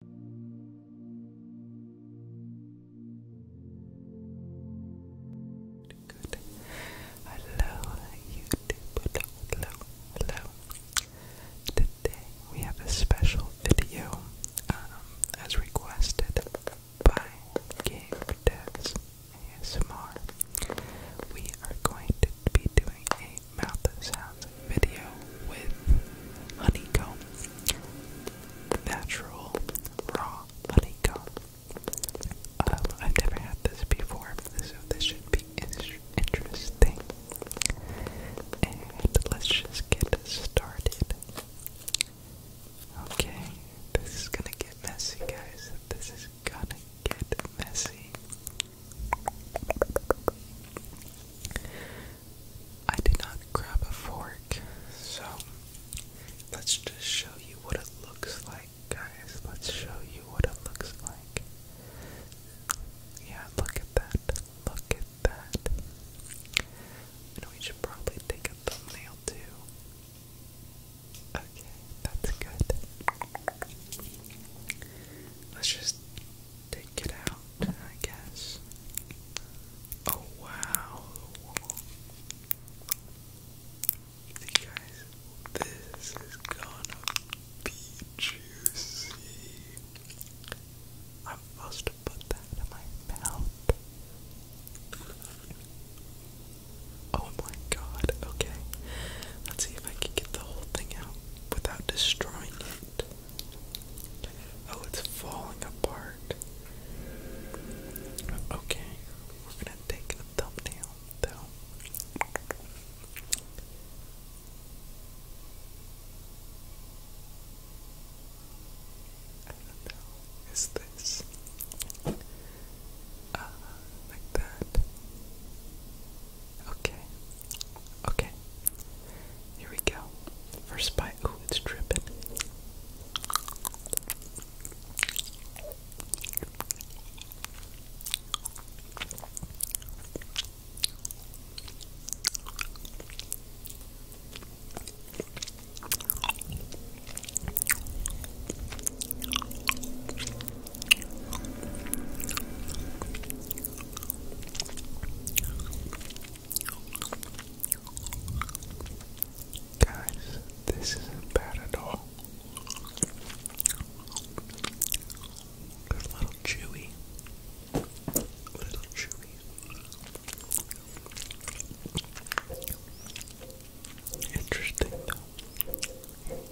Good. Hello, YouTube. Hello, hello, Today we have a special video, um, as requested by Game Devs ASMR. We are going to be doing a mouth sound video with honeycomb, natural raw honeycomb. Um, I've never had this before, so this should be interesting. And let's just get started. Okay, this is gonna get messy, guys. This is gonna get messy. I did not grab a fork, so let's just show you what it looks like, guys. Let's show you what it looks like. Yeah, look at that. Look at that. we should probably take a thumbnail too. Okay, that's good. Let's just take it out, I guess. Oh wow, guys, this is gonna be juicy. I'm supposed to put that in my mouth. Oh my god, okay. Let's see if I can get the whole thing out without destroying it. Oh, it's falling apart. Okay, we're gonna take a thumbnail though. I don't know, is this uh, like that? Okay, okay, here we go. First bite. Oh, it's dripping. Guys, this isn't bad at all. It's a little chewy. A little chewy. Interesting though.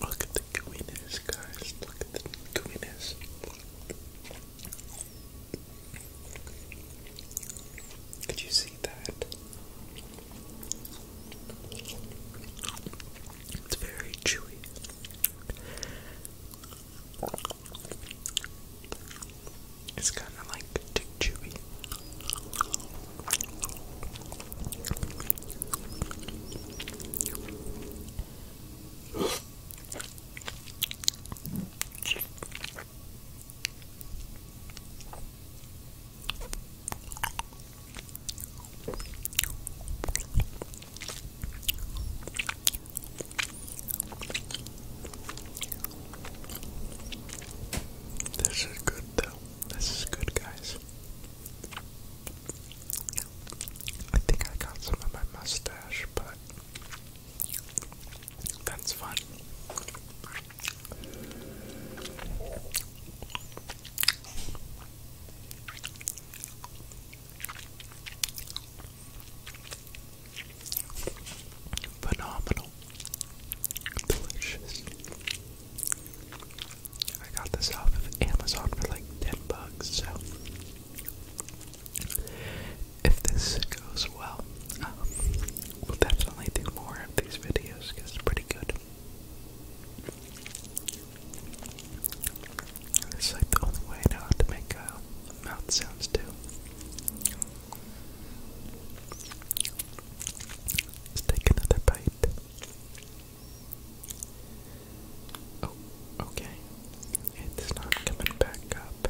Look at the gooiness, guys. Look at the gooiness. Could you see that? It's very chewy. It's kind of like tick chewy. This is good, though. This is good, guys. I think I got some of my mustache, but that's fun. Phenomenal. Delicious. I got this off of Amazon for like 10 bucks, so if this goes well, um, we'll definitely do more of these videos because it's pretty good. It's like the only way I know how to make uh, mouth sounds too. Let's take another bite. Oh, okay. It's not coming back up.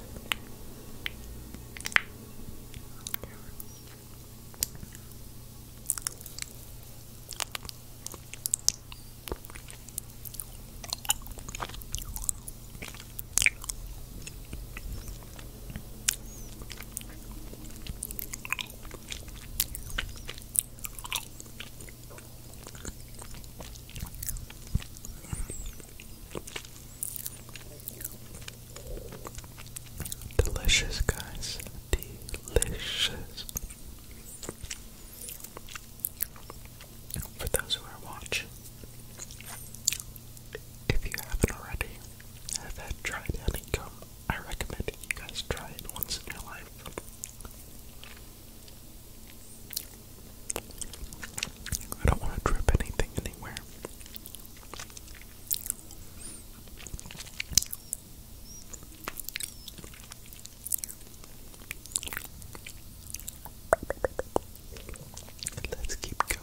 Delicious, guys. Delicious. For those who are watching, if you haven't already, have had honeycomb, I recommend you guys try it once in your life. I don't want to drip anything anywhere. Let's keep going.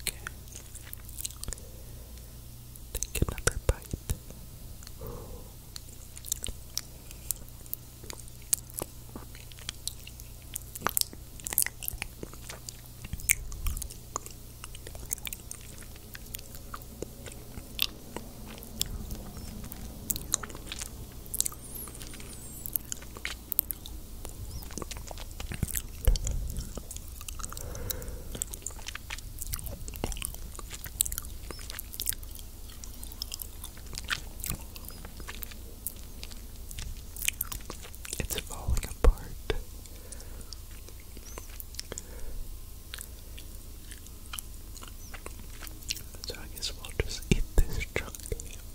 Okay. Take another bite. Okay. It's falling apart. So I guess we'll just eat this chunk.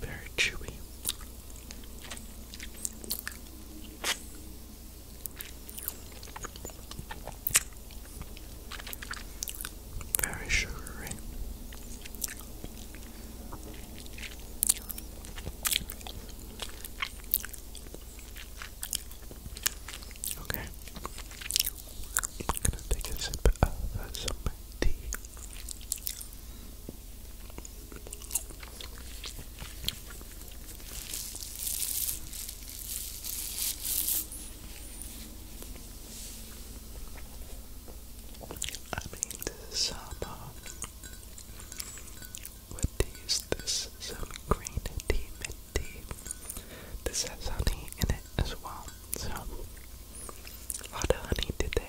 Very chewy. Very sugary. Okay. I'm gonna take a sip of that something tea. I mean, this supper uh, with this some green tea, mint tea. This has honey in it as well, so a lot of honey today.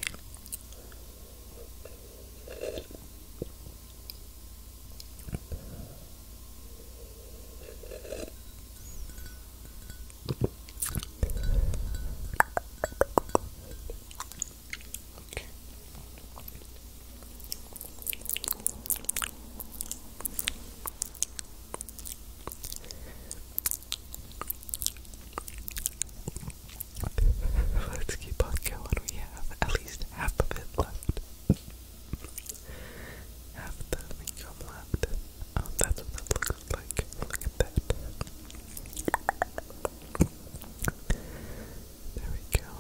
Let's keep on going. We have at least half of it left half the income left. Um, that's what that looks like. Look at that. There we go.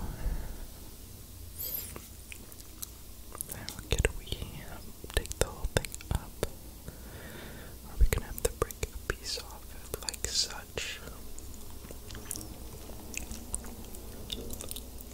Now, could we um, take the whole thing up? Or are we gonna have to break a piece off like such?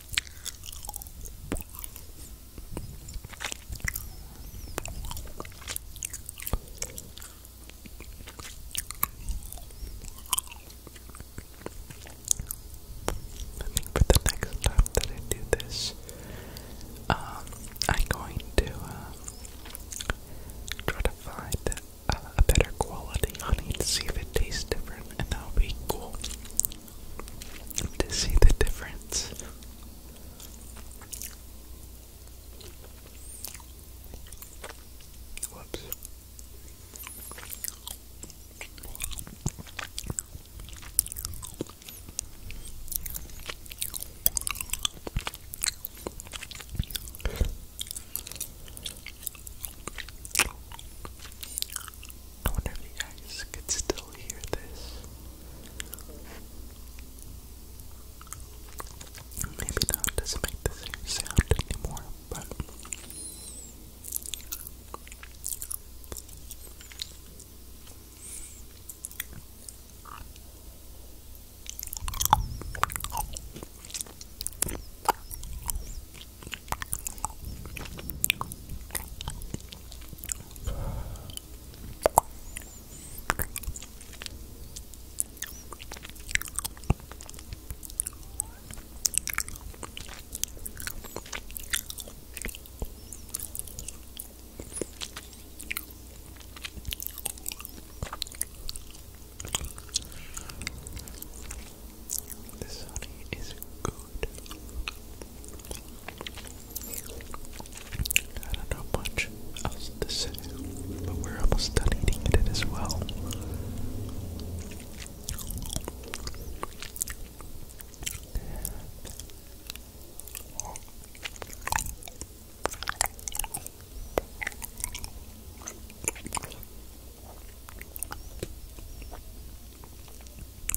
I think for the next time that I do this, um, I'm going to uh, try to find uh, a better quality honey to see if it tastes different, and that'll be cool to see the difference. I wonder if you guys could still hear this. Maybe now doesn't make the same sound anymore, but this honey is good. I don't know much else to say, but we're almost done eating it as well.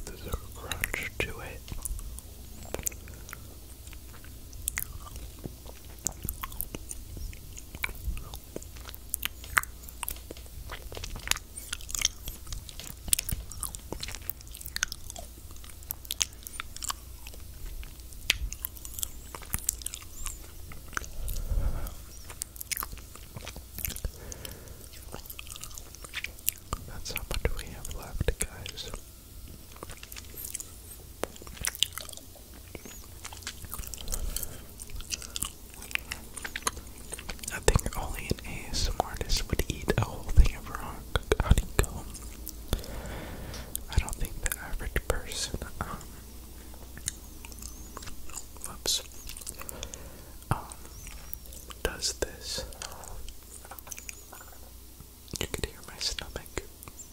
There's a crunch to it. That's how much we have left, guys. I think only an ASM artist would eat a whole thing of rock honeycomb. I don't think the average person, um, whoops, um, does this. You could hear my stomach.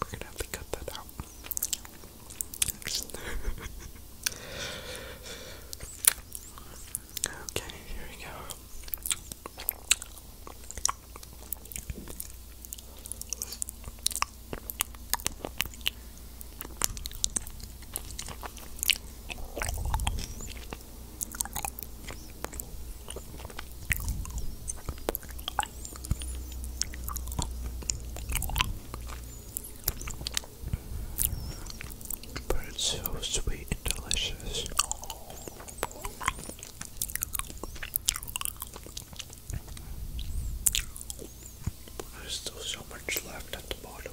We're gonna have to cut that out. okay, here we go. But it's so sweet and delicious. There's still so much left at the bottom.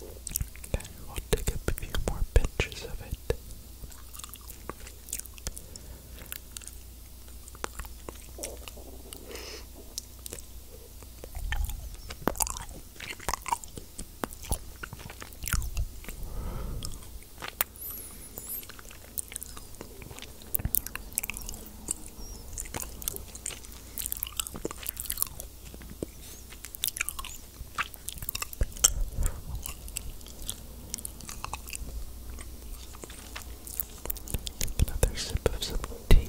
Okay, we'll take up a few more pinches of it. Another sip of some tea.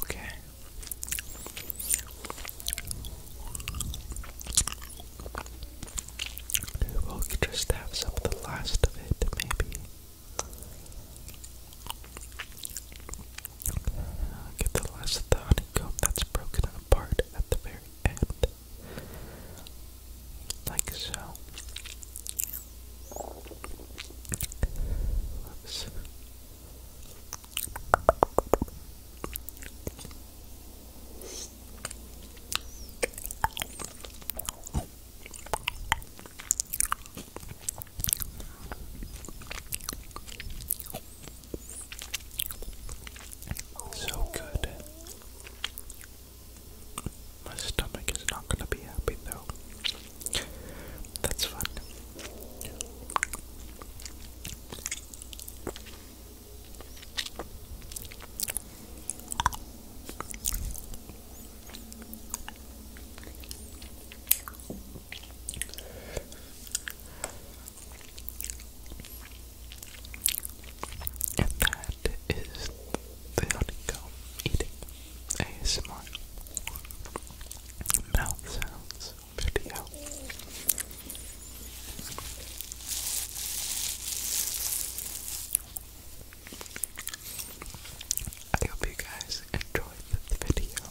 Okay. We'll just have some of the last of it, maybe. Get the last of the honeycomb that's broken apart at the very end like so. So good. My stomach is not gonna be happy though. That's fun. And that is the honeycomb eating ASMR mouth sounds video. I hope you guys enjoyed this video.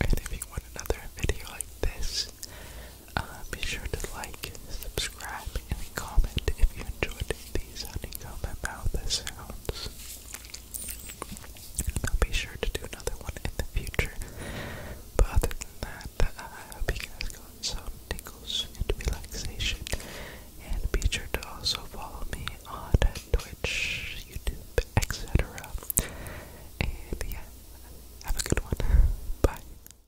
And if you want another video like this, uh, be sure to like, subscribe, and comment if you enjoyed these honeycomb mouth sounds. And I'll be sure to do another one in the future. But other than that, uh, I hope you guys got some tickles and relaxation. And be sure to also follow me on Twitch, YouTube, etc. And yeah, have a good one. Bye.